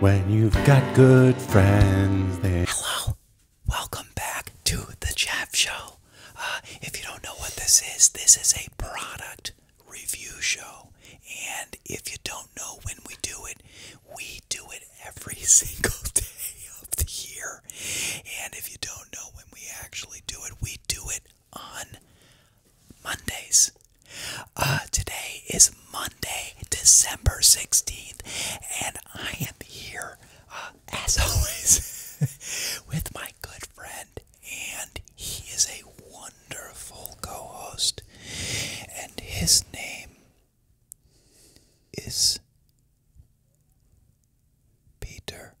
When you've got good friends, they. Hello. Welcome back to the Jeff Show. Uh, if you don't know what this is, this is a product review show. And if you don't know when we do it, we do it every single day of the year. And if you don't know when we actually do it, we do it on Mondays. Uh, today is Monday, December 16th, and I am here, uh, as always, with my good friend, and he is a wonderful co host, and his name is Peter.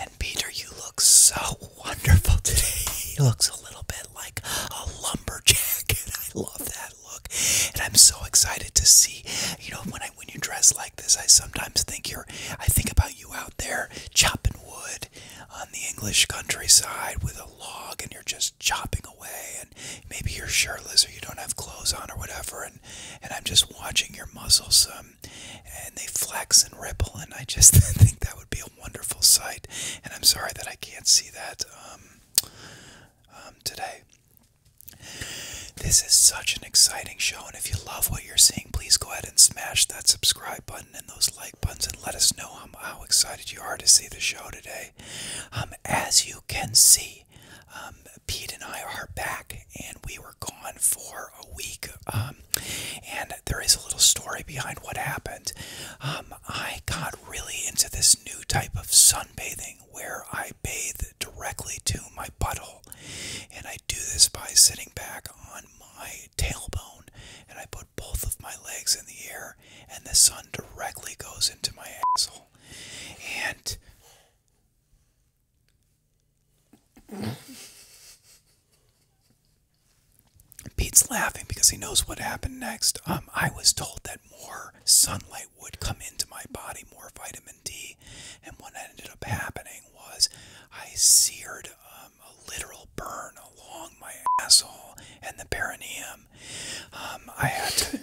And Peter, you look so wonderful today. You look a little bit like a lumberjack, and I love that look. And I'm so excited to see. You know, when I when you dress like this, I sometimes think you're. I think about you out there chopping wood on the English countryside with a log, and you're just chopping away. And maybe you're shirtless, or you don't have clothes on, or whatever. And and I'm just watching your muscles um, and they flex and ripple, and I just think that would be a wonderful sight. And I'm sorry that I can't see that um, um, today. This is such an exciting show, and if you love what you're seeing, please go ahead and smash that subscribe button and those like buttons and let us know how, excited you are to see the show today. Um, as you can see, Pete and I are back, and we were gone for a week. and there is a little story behind what happened. Um, I got really into this new type of sunbathing where I bathe directly to my butthole, and I do this by sitting back on my tailbone, and I put both of my legs in the air, and the sun directly goes into my asshole, and Pete's laughing because he knows what happened next. Um, I was told that more sunlight would come into my body, more vitamin D, and what ended up happening was I seared um, a literal burn along my asshole and the perineum. Um, I had to.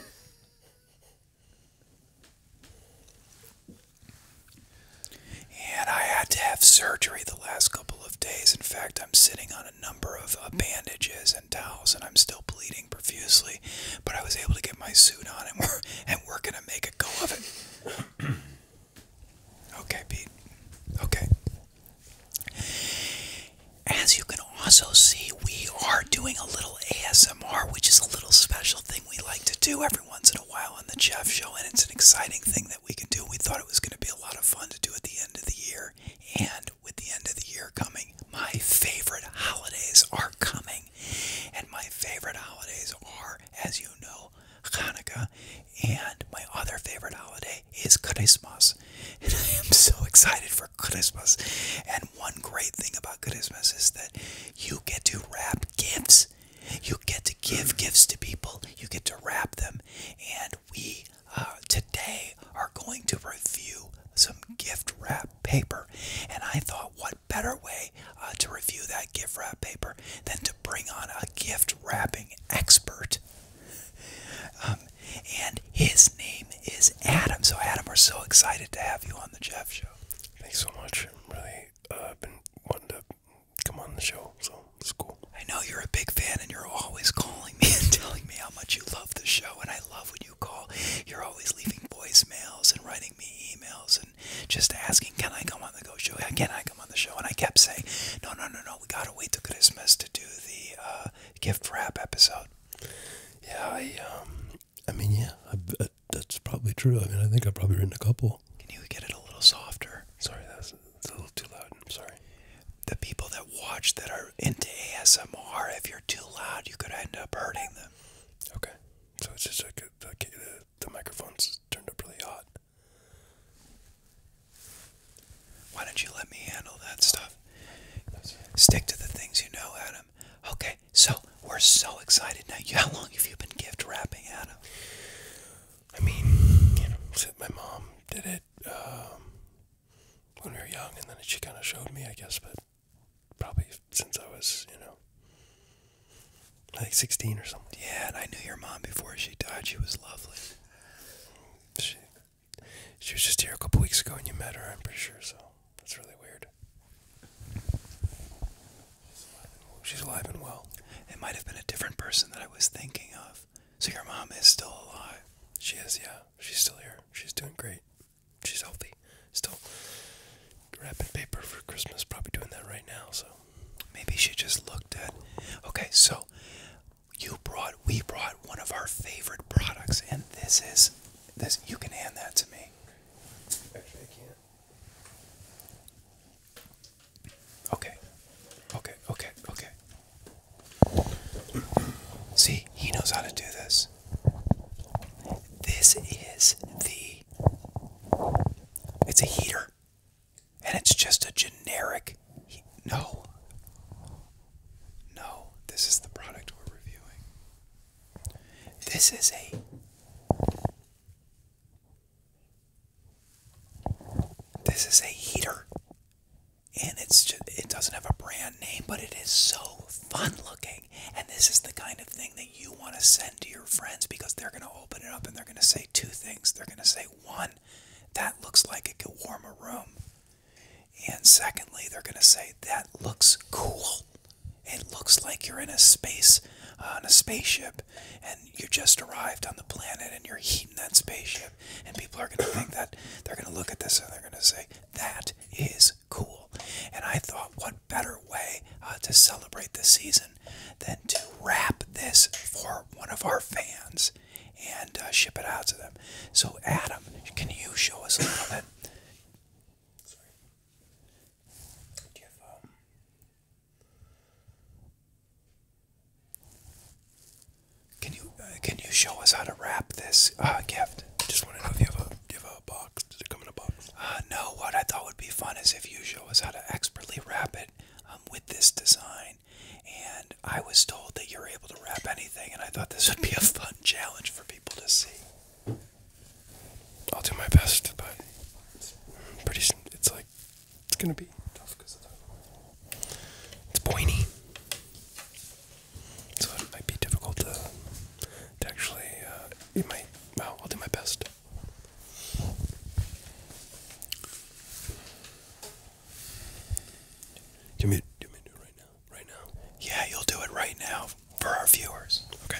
And I had to have surgery the last couple of days. In fact, I'm sitting on a number of uh, bandages and towels, and I'm still bleeding profusely. But I was able to get my suit on, and we're, and we're going to make a go of it. okay, Pete. Okay. As you can also see, we are doing a little ASMR, which is a little special thing we like to do every once in a while while on the Jeff Show, and it's an exciting thing that we can do. We thought it was going to be a lot of fun to do at the end of the year. And with the end of the year coming, my favorite holidays are coming. And my favorite holidays are, as you know, Hanukkah. And my other favorite holiday is Christmas. And I am so excited for Christmas. And one great thing about Christmas is that you get to wrap gifts you get to give gifts to people, you get to wrap them. And we uh, today are going to review some gift wrap paper. And I thought, what better way uh, to review that gift wrap paper than to bring on a gift wrapping expert? Um, and his name is Adam. So, Adam, we're so excited to have you on the Jeff Show. Thanks so much. really uh, I've been wanting to come on the show, so it's cool. I know you're a big fan, and you're always calling me and telling me how much you love the show, and I love when you call. You're always leaving voicemails and writing me emails and just asking, "Can I come on the Show? Can I come on the show?" And I kept saying, "No, no, no, no. We gotta wait till Christmas to do the uh, gift wrap episode." Yeah, I um, I mean, yeah, that's probably true. I mean, I think I've probably written a couple. Can you get it a little softer? Sorry, that's, a little too loud. I'm sorry. The people that watch that are into ASMR, if you're too loud, you could end up hurting them. Okay. So it's just like the, uh, the, uh, the microphone's turned up really hot. Why don't you let me handle that stuff? Stick to the things you know, Adam. Okay, so we're so excited now. How long have you been gift wrapping, Adam? I mean, you know, my mom did it um, when we were young, and then she kind of showed me, I guess, but probably since I was, you know, like 16 or something. Yeah, and I knew your mom before she died. She was lovely. She, she was just here a couple weeks ago, and you met her, I'm pretty sure, so. That's really weird. She's alive and well. It might have been a different person that I was thinking of. So your mom is still alive. She is, yeah. She's still here. She's doing great. She's healthy. Still wrapping paper for Christmas. Probably doing that right now. So maybe she just looked at. Okay, so you brought, we brought one of our favorite products, and this is this. You can hand that to me. Actually, I can't. Okay. Okay, okay, okay. See, he knows how to do this. This is the. It's a heater. And it's just a generic. no. No, this is the product we're reviewing. This is a This is a heater. And it's just, it doesn't have a brand name, but it is so fun looking. And this is the kind of thing that you want to send to your friends because they're going to open it up and they're going to say two things. They're going to say, one, that looks like it could warm a room. And secondly, they're going to say, that looks cool. It looks like you're in a space, on uh, a spaceship, and you just arrived on the planet and you're heating that spaceship. And people are going to think that, they're going to look at this and they're going to say, that is cool. And I thought, what better way uh, to celebrate the season than to wrap this for one of our fans and uh, ship it out to them. So, Adam, can you show us a little bit? Um, can you uh, can you show us how to wrap this uh, gift? I Just want to know if you have a you have a box. Does it come in a box? Uh, no. What I thought would be fun is if you show us how to expertly wrap it um, with this design. And I was told that you're able to wrap anything, and I thought this would be a fun challenge for people to see. I'll do my best, but it's pretty. It's like it's gonna be tough because of that. It's pointy, so it might be difficult to to actually. Uh, it might. Well, I'll do my best. Do you, want me to, do you want me to do it right yeah, you'll do it right now for our viewers. Okay.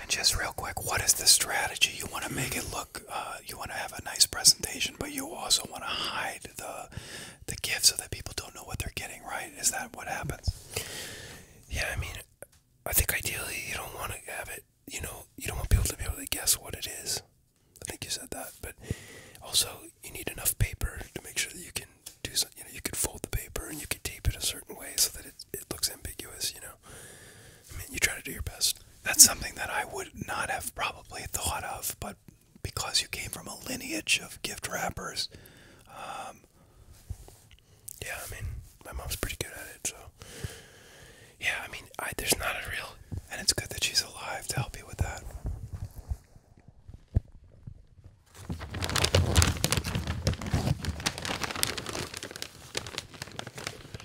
And just real quick, what is the strategy? You want to make it look look, uh, you want to have a nice presentation, but you also want to hide the the gift so that people don't know what they're getting. Right? Is that what happens? Yeah, I mean, I think ideally you don't want to have it. You know, you don't want people to be able to guess what it is. I think you said that, but also you need enough paper to make sure that you can do something. You know, you could fold the paper and you could tape it a certain way so that it it looks ambiguous. You know, I mean, you try to do your best. That's something that I would not have probably thought of, but because you came from a lineage of gift wrappers, um, yeah, I mean, my mom's pretty good at it, so yeah, I mean, I, there's not a real, and it's good that she's alive to help you with that.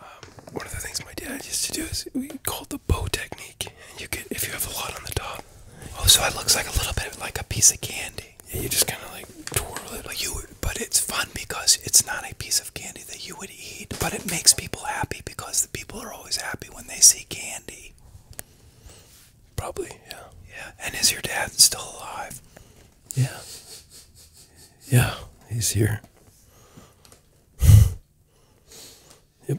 Um, one of the things my dad used to do is we called the bow technique, and you could if you have a lot on the top. Oh, so it looks like a little bit like a piece of candy. Yeah, you just kind of like twirl it like you but it's fun because it's not a piece of candy that you would eat but it makes people happy because the people are always happy when they see candy probably yeah yeah and is your dad still alive yeah yeah he's here yep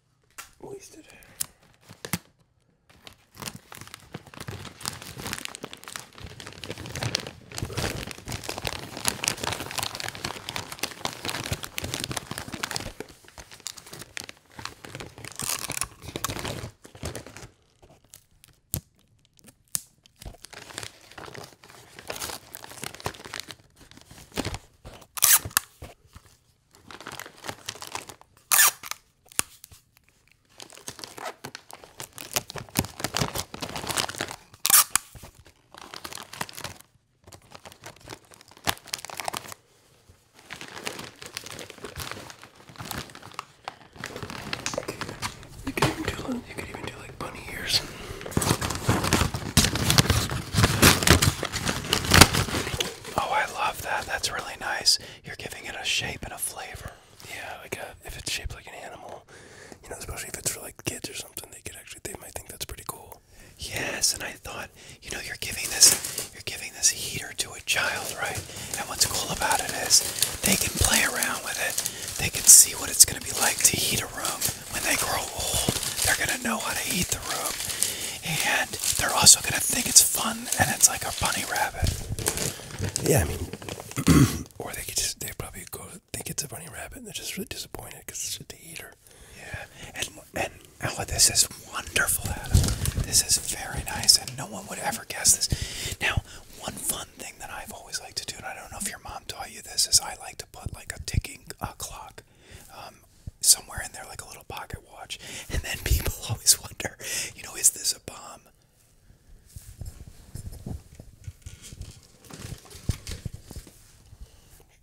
wasted. You could even do, you could even do like bunny ears. Oh, I love that. That's really nice. You're giving it a shape and a flavor. Yeah, like uh, if it's shaped like an animal, you know, especially if it's for like kids or something, they could actually they might think that's pretty cool. Yes, and I thought, you know, you're giving this you're giving this heater to a child, right? And what's cool about it is they can play around with it. They can see what it's gonna be like to heat a room when they grow old, they're going to know how to eat the room. And they're also going to think it's fun and it's like a bunny rabbit. Yeah, I mean, or they could just, they probably go think it's a bunny rabbit and they're just really disappointed because it's just a eater. Yeah, and, and Ella, oh, this is wonderful, Adam. This is very nice, and no one would ever guess this. Now, one fun thing that I've always liked to do, and I don't know if your mom taught you this, is I like to put like a ticking uh, clock um, somewhere in there like a little pocket watch and then people always wonder you know is this a bomb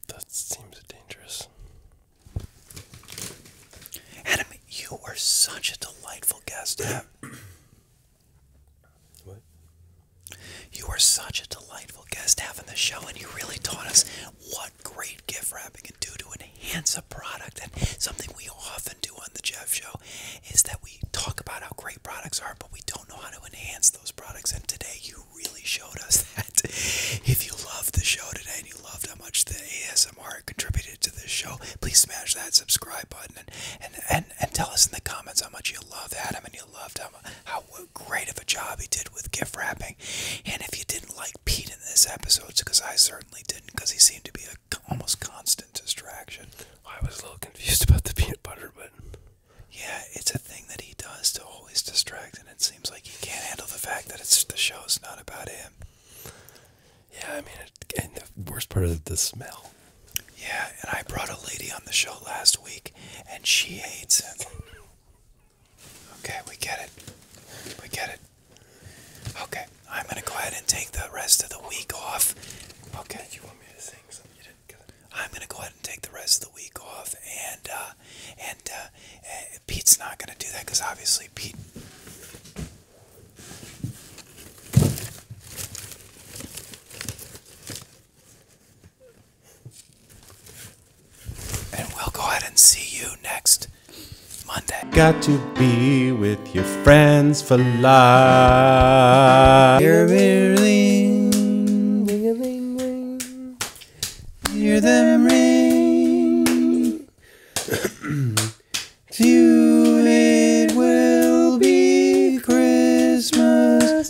that seems dangerous adam you are such a delightful guest what you were such a delightful guest having the show, and you really taught us what great gift wrapping can do to enhance a product. And something we often do on the Jeff Show is that we talk about how great products are, but we don't know how to enhance those products. And today, you really showed us that. If you loved the show today and you loved how much the ASMR contributed to this show, please smash that subscribe button and and and, tell us in the comments how much you loved Adam and you loved how how great of a job he did with gift wrapping. And if you didn't like Pete in this episode, because I certainly didn't, because he seemed to be a almost constant distraction. I was a little confused about the peanut butter, but yeah, it's a thing that he does to always distract, and it seems like he can't handle the fact that it's the show is not about him. Yeah, I mean, and the worst part of the smell. Yeah, and I brought a lady on the show last week, and she hates him. Okay, we get it. We get it. Okay, I'm gonna go ahead and take the rest of the week off. Okay. you want me to sing something? You didn't get it. I'm gonna go ahead and take the rest of the week off, and uh, and uh, eh, Pete's not gonna do that because obviously Pete. And we'll go ahead and see you next Monday. Got to be with your friends for life. Hear them ring, ring a ling ring. Hear them ring. to it will be Christmas